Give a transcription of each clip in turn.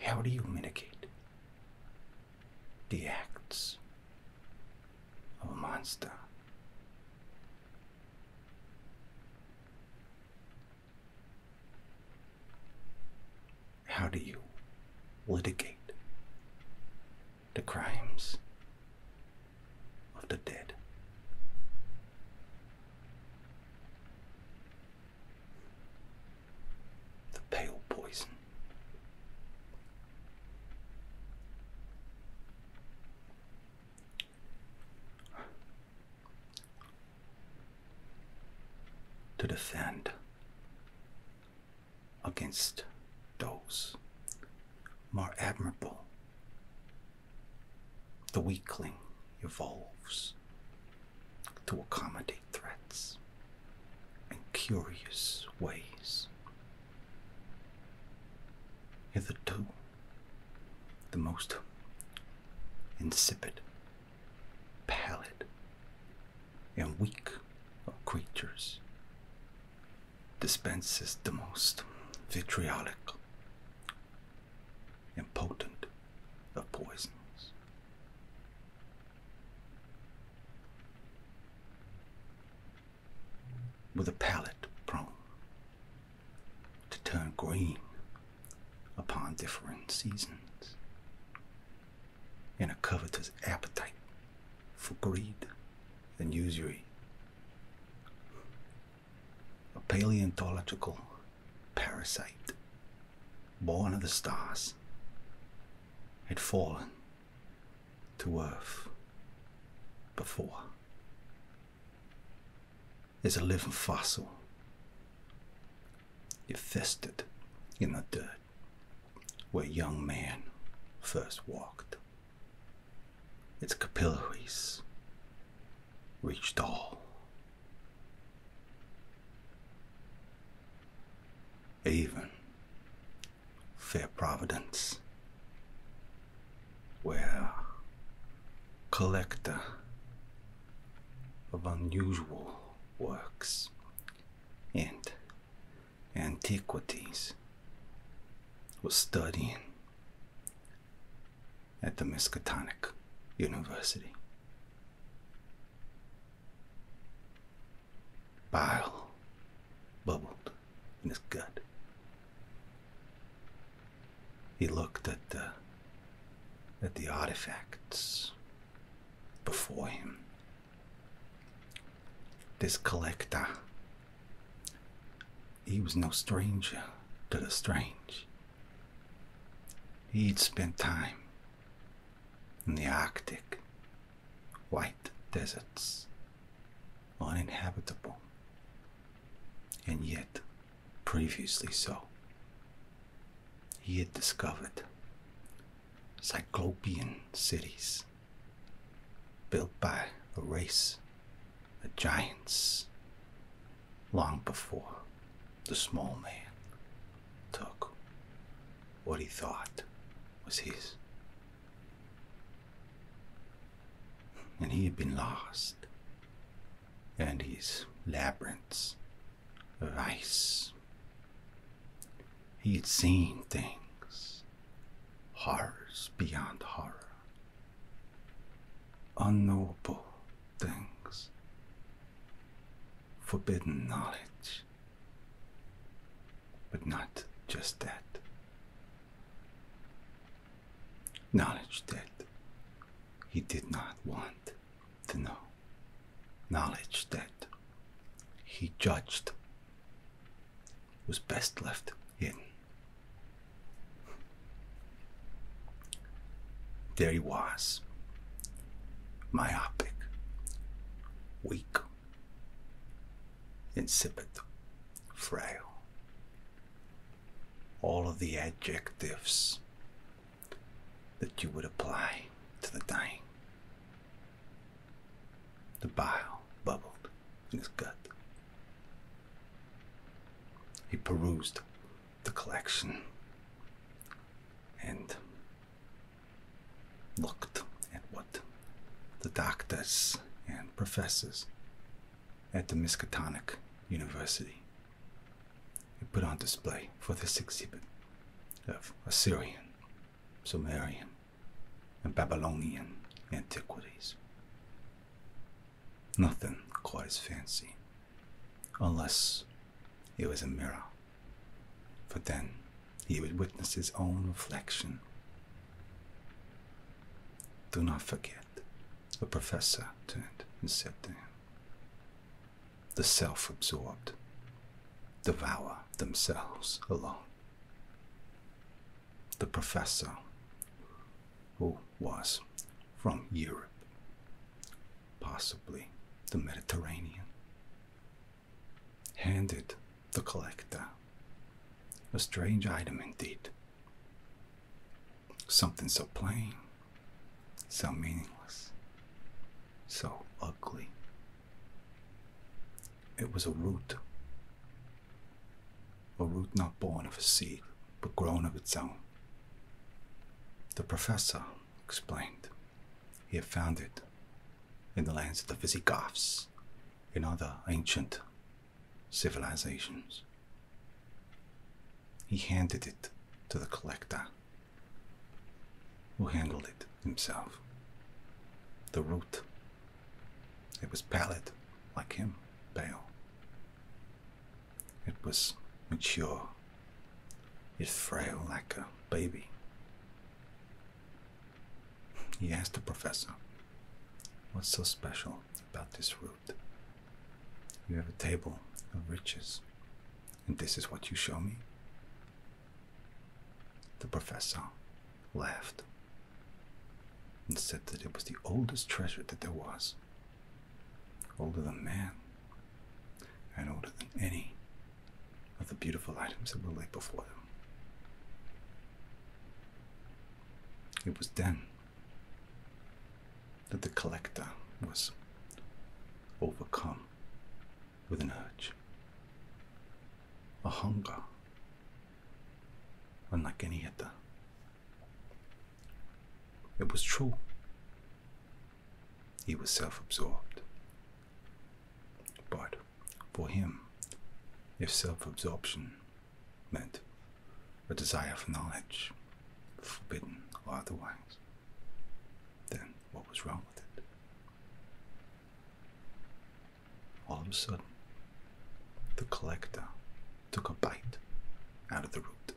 How do you mitigate the acts of a monster? How do you litigate the crimes of the dead. The pale poison. To defend against those more admirable the weakling evolves to accommodate threats in curious ways. Hitherto, the most insipid, pallid, and weak of creatures dispenses the most vitriolic and potent of poisons. With a palate prone to turn green upon different seasons, and a covetous appetite for greed and usury a paleontological parasite born of the stars had fallen to earth before. Is a living fossil. It festered in the dirt where young man first walked. Its capillaries reached all. Even fair Providence, where collector of unusual works and antiquities was studying at the Miskatonic University. Bile bubbled in his gut. He looked at the at the artifacts before him this collector, he was no stranger to the strange. He'd spent time in the Arctic, white deserts, uninhabitable, and yet previously so. He had discovered Cyclopean cities built by a race, the giants, long before the small man took what he thought was his. And he had been lost, and his labyrinths of ice. He had seen things horrors beyond horror, unknowable things, forbidden knowledge. But not just that. Knowledge that he did not want to know. Knowledge that he judged was best left in. There he was, myopic, weak, insipid, frail. All of the adjectives that you would apply to the dying. The bile bubbled in his gut. He perused the collection and looked at what the doctors and professors at the Miskatonic University had put on display for this exhibit of Assyrian Sumerian, and Babylonian antiquities. Nothing caught his fancy, unless it was a mirror, for then he would witness his own reflection. Do not forget, the professor turned and said to him, the self absorbed devour themselves alone the professor who was from Europe, possibly the Mediterranean, handed the collector a strange item indeed. Something so plain, so meaningless, so ugly it was a root. A root not born of a seed, but grown of its own. The professor explained he had found it in the lands of the Visigoths and other ancient civilizations. He handed it to the collector, who handled it himself. The root it was pallid, like him, pale. It was mature, yet frail like a baby. He asked the professor, What's so special about this root? You have a table of riches, and this is what you show me? The professor laughed and said that it was the oldest treasure that there was, older than man, and older than any of the beautiful items that were laid before them. It was then that the collector was overcome with an urge, a hunger Unlike any other. It was true. He was self absorbed. But for him, if self absorption meant a desire for knowledge, forbidden or otherwise, then what was wrong with it? All of a sudden, the collector took a bite out of the root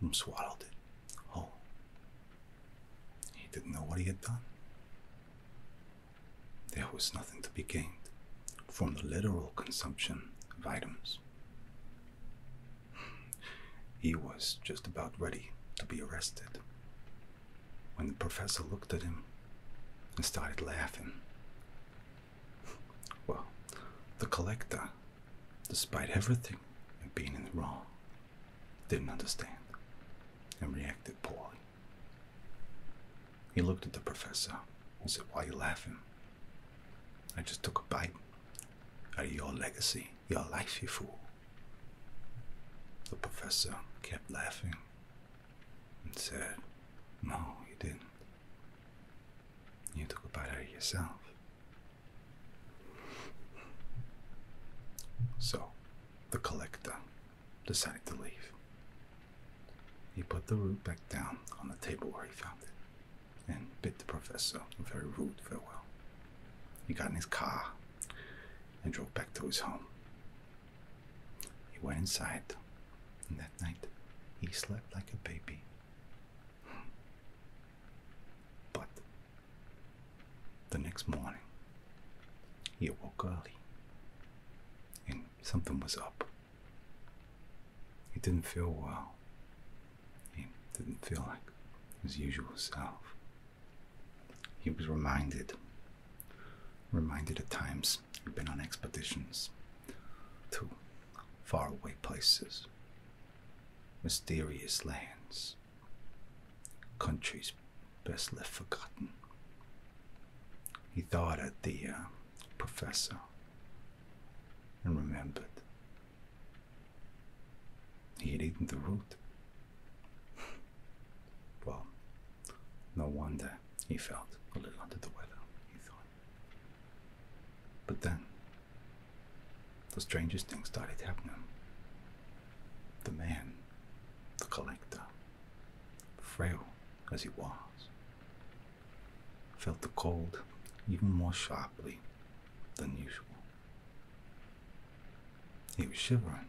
and swallowed it whole. He didn't know what he had done. There was nothing to be gained from the literal consumption of items. He was just about ready to be arrested when the professor looked at him and started laughing. Well, the collector, despite everything and being in the wrong, didn't understand and reacted poorly. He looked at the professor and said, Why are you laughing? I just took a bite out of your legacy your life, you fool. The professor kept laughing and said, No, you didn't. You took a bite out of yourself. So, the collector decided to leave. He put the root back down on the table where he found it and bid the professor a very rude farewell. He got in his car and drove back to his home. He went inside, and that night he slept like a baby. But the next morning, he awoke early, and something was up. He didn't feel well. He didn't feel like his usual self. He was reminded, reminded at times, he'd been on expeditions to faraway places, mysterious lands, countries best left forgotten. He thought of the uh, professor and remembered he had eaten the root. well, no wonder he felt a little under the weather, he thought. But then, the strangest thing started happening. The man, the collector, frail as he was, felt the cold even more sharply than usual. He was shivering.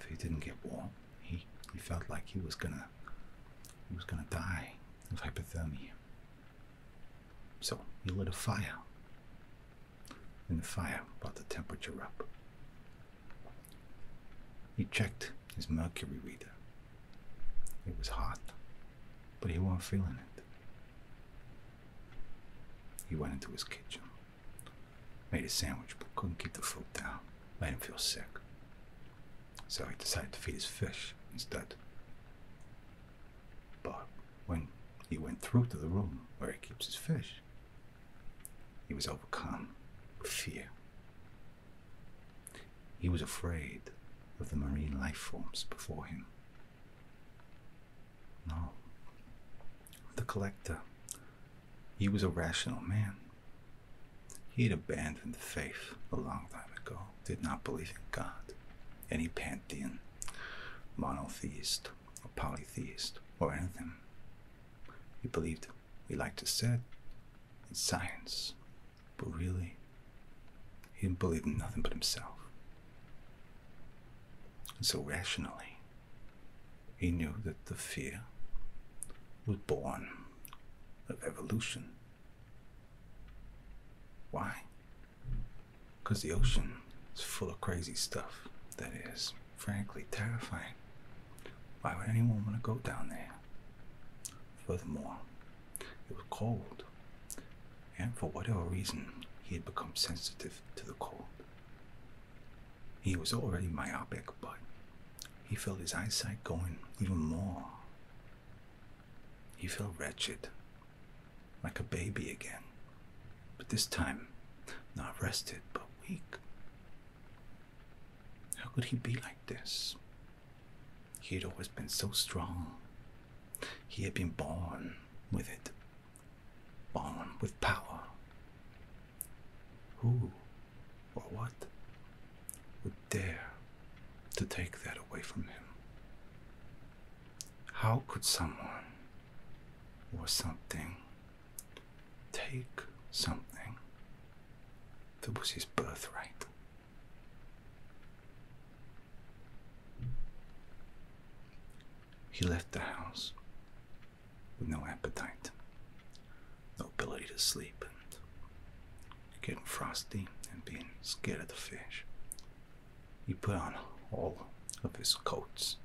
If he didn't get warm, he, he felt like he was gonna he was gonna die of hypothermia. So he lit a fire. And the fire brought the temperature up. He checked his mercury reader. It was hot, but he wasn't feeling it. He went into his kitchen, made a sandwich but couldn't keep the food down, made him feel sick. So he decided to feed his fish instead. But when he went through to the room where he keeps his fish, he was overcome with fear. He was afraid of the marine life forms before him. No. The collector, he was a rational man. He had abandoned faith a long time ago, did not believe in God, any pantheon, monotheist, or polytheist, or anything. He believed, he liked to say, in science, but really, he didn't believe in nothing but himself. So rationally, he knew that the fear was born of evolution. Why? Because the ocean is full of crazy stuff that is, frankly, terrifying. Why would anyone want to go down there? Furthermore, it was cold and for whatever reason, he had become sensitive to the cold. He was already myopic, but he felt his eyesight going even more. He felt wretched, like a baby again, but this time not rested but weak. How could he be like this? He had always been so strong. He had been born with it Born with power. Who or what would dare to take that away from him? How could someone or something take something that was his birthright? He left the house with no appetite, no ability to sleep, and getting frosty and being scared of the fish. He put on all of his coats,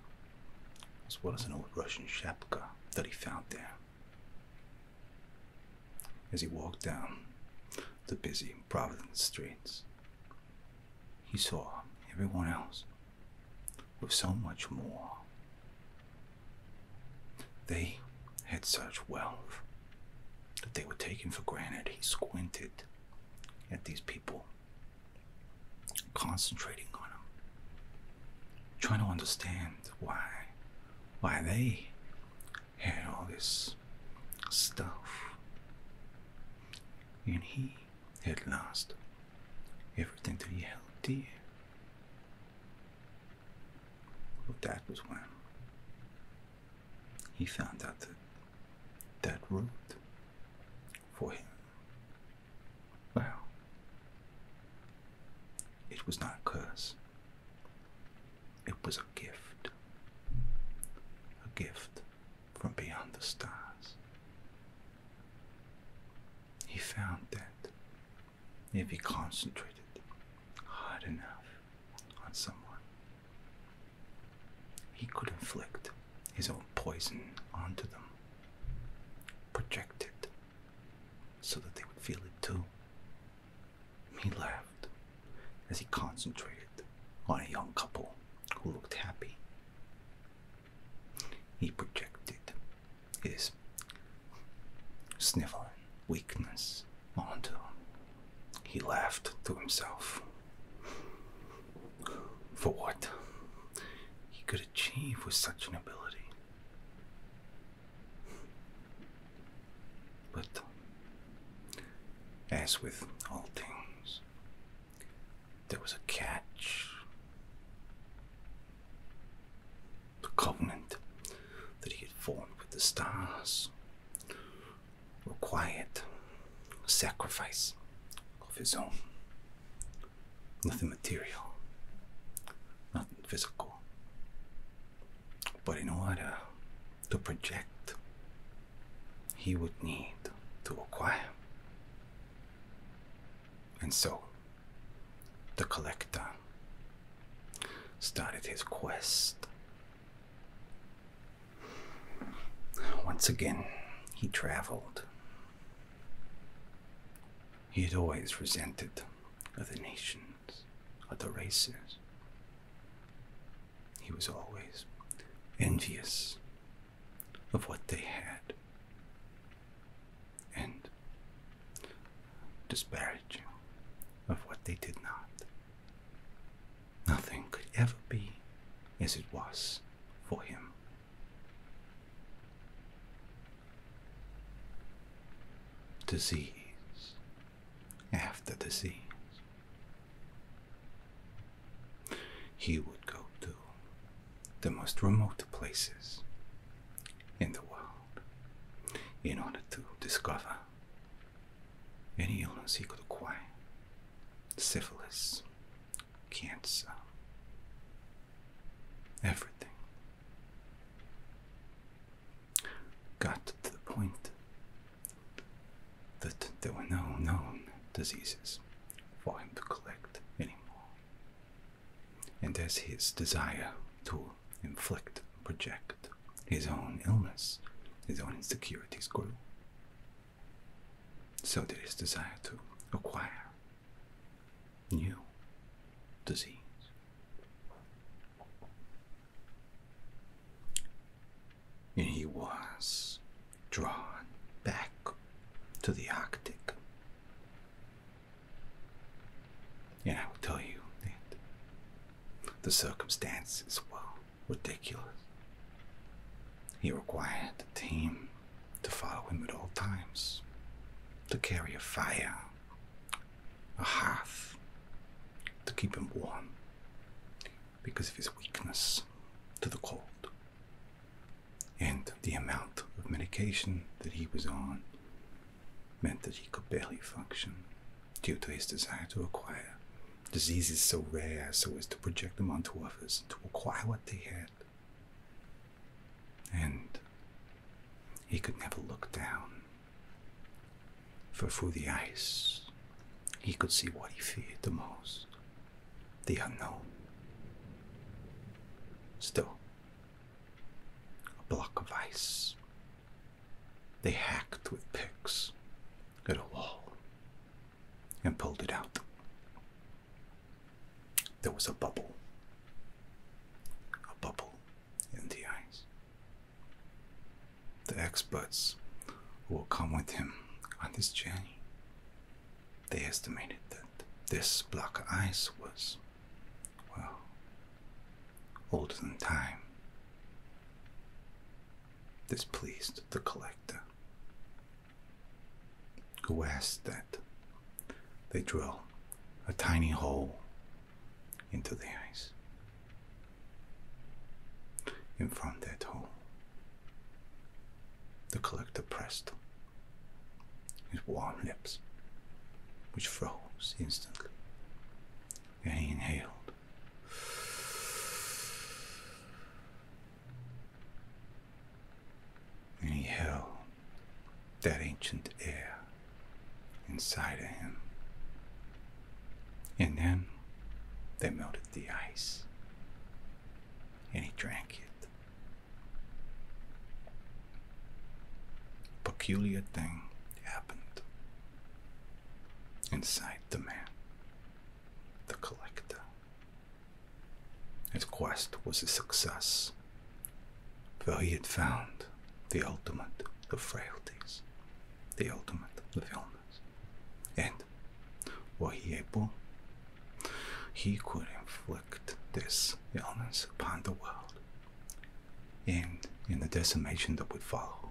as well as an old Russian shapka that he found there. As he walked down the busy Providence streets, he saw everyone else with so much more. They had such wealth that they were taken for granted. He squinted at these people, concentrating on them, trying to understand why, why they had all this stuff. And he had lost everything that he held dear. But that was when he found out that that road for him, well, it was not a curse. It was a gift. A gift from beyond the stars. He found that if he concentrated hard enough on someone, he could inflict his own poison onto them, project it so that they would feel it too. He laughed as he concentrated on a young couple who looked happy. He projected his sniveling weakness onto him. He laughed to himself. For what he could achieve with such an ability. But as with all things, there was a catch. The covenant that he had formed with the stars required a sacrifice of his own. Nothing material, nothing physical, but in order to project, he would need to acquire. And so, the collector started his quest. Once again, he traveled. He had always resented other nations, other races. He was always envious of what they had and disparaging of what they did not. Nothing could ever be as it was for him. Disease after disease he would go to the most remote places in the world in order to discover any illness he could acquire syphilis, cancer, everything. Got to the point that there were no known diseases for him to collect anymore. And as his desire to inflict, project his own illness, his own insecurities grew, so did his desire to acquire new disease and he was drawn back to the Arctic. And I will tell you that the circumstances were ridiculous. He required a team to follow him at all times, to carry a fire, a hearth, to keep him warm, because of his weakness to the cold and the amount of medication that he was on meant that he could barely function due to his desire to acquire diseases so rare so as to project them onto others to acquire what they had. And he could never look down for through the ice he could see what he feared the most the unknown. Still, a block of ice. They hacked with picks at a wall and pulled it out. There was a bubble. A bubble in the ice. The experts who will come with him on this journey. They estimated that this block of ice was, well, older than time. This pleased the collector, who asked that they drill a tiny hole into the ice in front of that hole, the collector pressed his warm lips, which froze instantly, and he inhaled. And he held that ancient air inside of him and then they melted the ice, and he drank it. A peculiar thing happened inside the man, the collector. His quest was a success, for he had found the ultimate of frailties, the ultimate of illness. And were he able, he could inflict this illness upon the world, and in the decimation that would follow,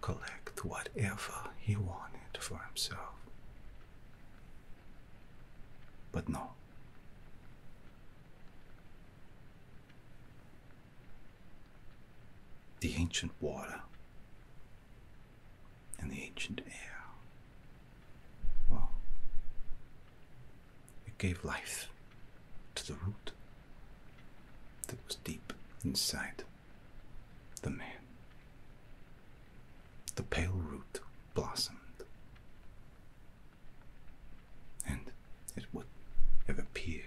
collect whatever he wanted for himself. But no the ancient water and the ancient air. Well, it gave life to the root that was deep inside the man. The pale root blossomed, and it would have appeared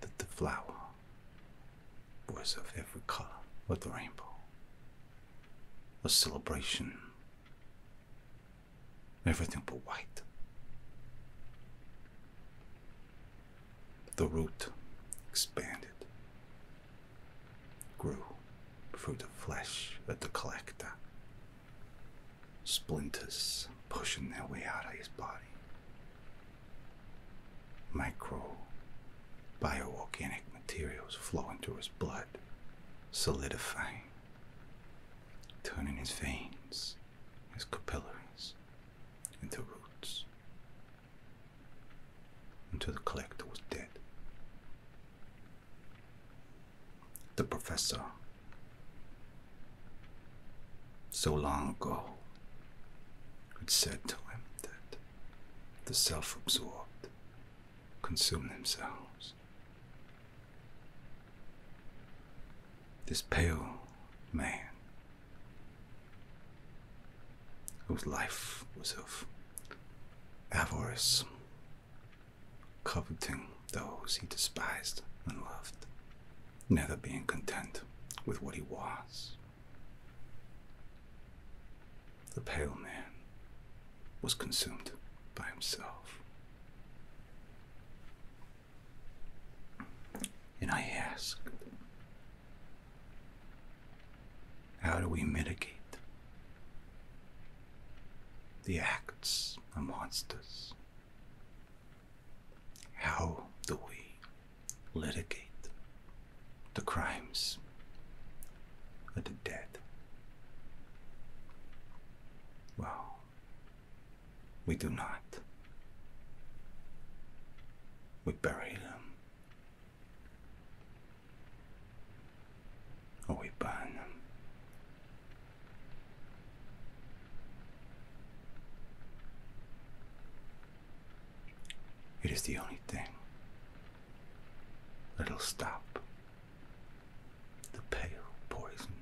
that the flower was of every color of the rainbow. A celebration. Everything but white. The root expanded, grew through the flesh of the collector, splinters pushing their way out of his body. Micro bioorganic materials flowing through his blood, solidifying, turning his veins, his capillaries into roots, until the collector was dead. The professor so long ago, it said to him that the self absorbed consume themselves. This pale man, whose life was of avarice, coveting those he despised and loved, never being content with what he was. The pale man was consumed by himself. And I asked, how do we mitigate the acts of monsters?" How do we litigate the crimes of the dead? Well, we do not. We bury them. Or we burn them. It is the only thing that'll stop the pale poison.